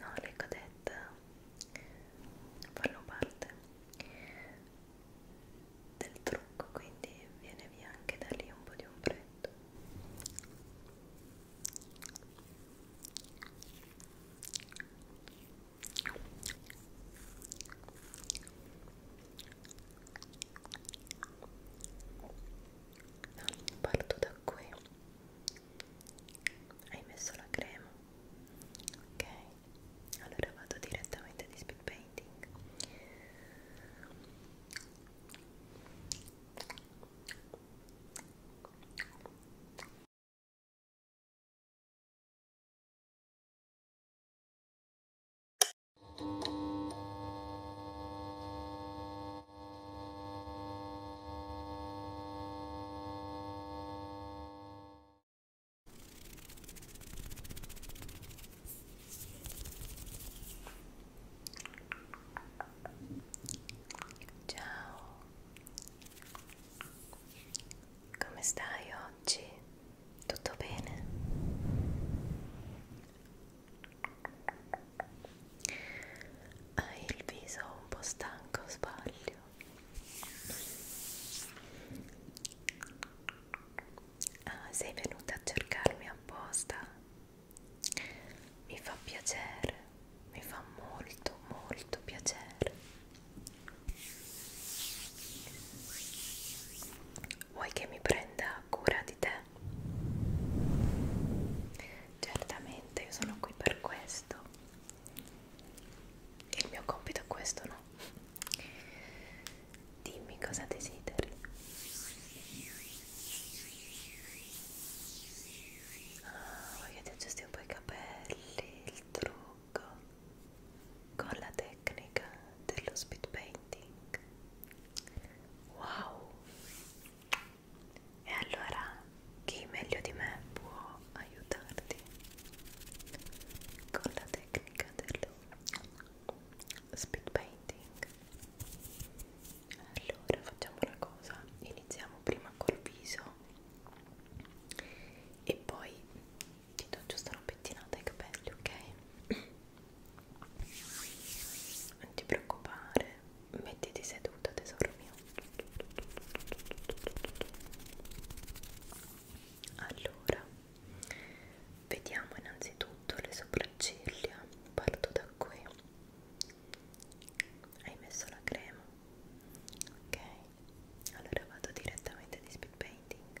No, le codette fanno parte del trucco quindi viene via anche da lì un po' di ombretto no, parto da qui hai messo la crema ok allora vado direttamente di speed painting Ciao, come stai oggi? Tutto bene? Hai il viso un po' stanco, sbaglio? Ah, sei venuta a cercarmi apposta? Mi fa piacere, mi fa molto, molto piacere. Vuoi che mi prenda cura di te? Certamente, io sono qui per questo il mio compito è questo, no? Dimmi cosa desideri. Ah, voglio ti aggiusti un po' i capelli, il trucco, con la tecnica dello speed painting. Wow! E allora chi meglio di me può aiutarti con la tecnica dello speed painting? Allora facciamo una cosa, iniziamo prima col viso e poi ti do giusto una pettinata ai capelli, ok? Non ti preoccupare mettiti seduto tesoro mio allora vediamo innanzitutto le sopracciglia parto da qui hai messo la crema ok allora vado direttamente di speed painting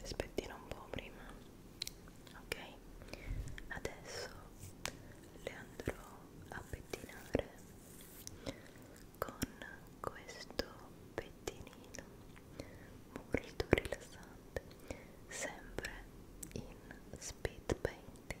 Rispettino un po' prima, ok? Adesso le andrò a pettinare con questo pettinino molto rilassante sempre in speed painting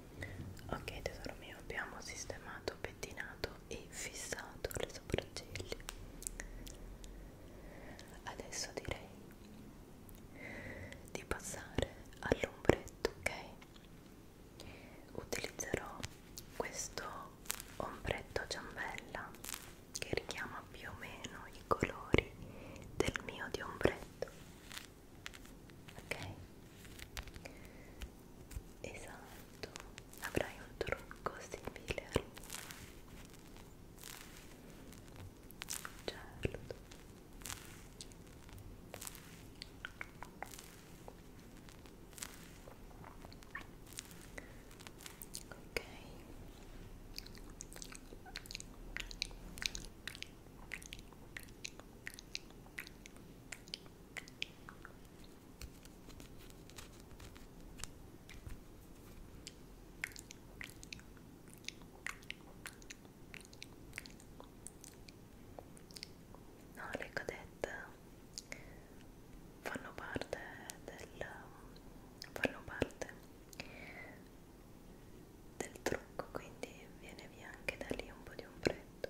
ok tesoro mio abbiamo sistemato pettinato e fissato le sopracciglia adesso direi di passare all'ombretto ok utilizzerò questo ombretto ciambella che richiama più o meno i colori del mio di ombretto ok esatto avrai un trucco simile certo ok ok No, le cadette fanno parte del fanno parte del trucco, quindi viene via anche da lì un po' di ombretto.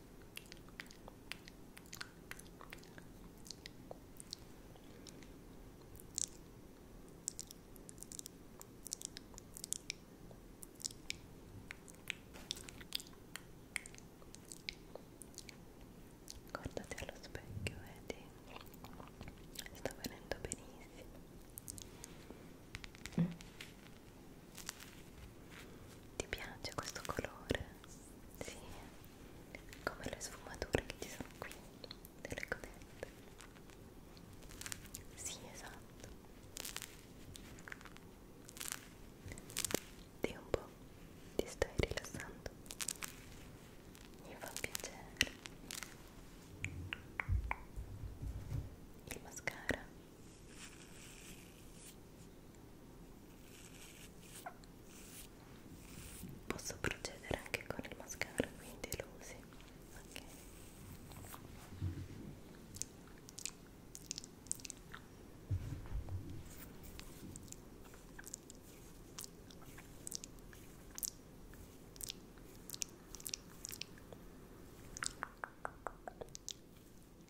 Guardati allo specchio, vedi? Sta venendo benissimo. Mm. Ti piace questo colore? Sì, come le sfumature che ci sono qui, delle codette. Sì, esatto. Di un po', ti stai rilassando. Mi fa piacere. Il mascara Posso procedere anche con il mascara, quindi lo usi. Ok.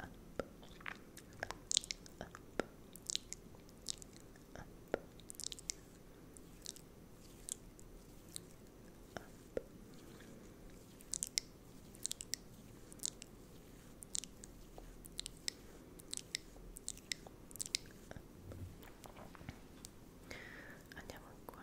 up, up, up. Andiamo qua.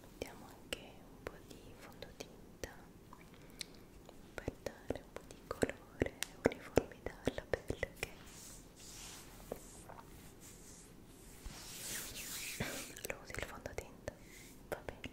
mettiamo anche un po' di fondotinta per dare un po' di colore e uniformità alla pelle ok? lo usi il fondotinta? va bene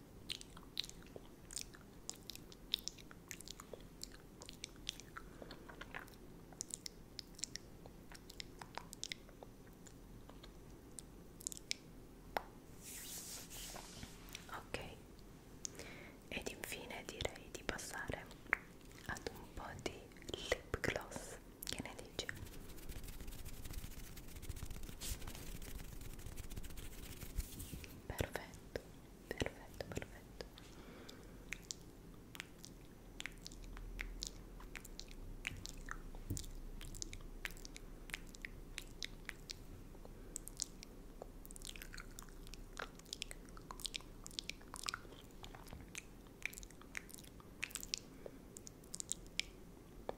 Ok, ed infine direi di passare ad un po' di lip gloss. Che ne dici? Perfetto, perfetto, perfetto. Perfetto,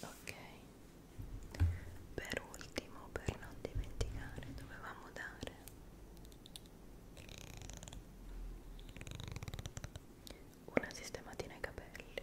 ok per ultimo per non dimenticare dovevamo dare una sistematina ai capelli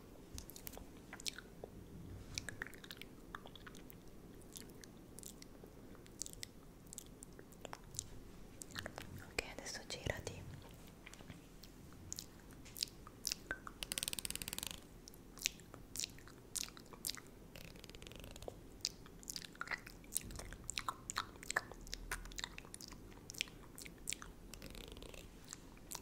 Ok, adesso girati.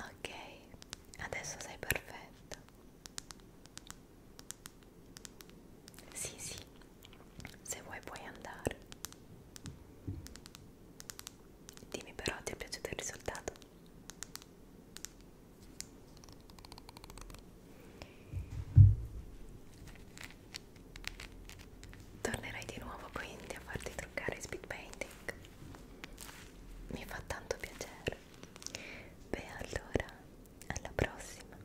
Ok, adesso sei perfetto. Sì, sì, se vuoi puoi andare. Dimmi però, ti è piaciuto il risultato? Tornerai di nuovo quindi a farti truccare speed painting? Mi fa tanto piacere. Beh, allora, alla prossima.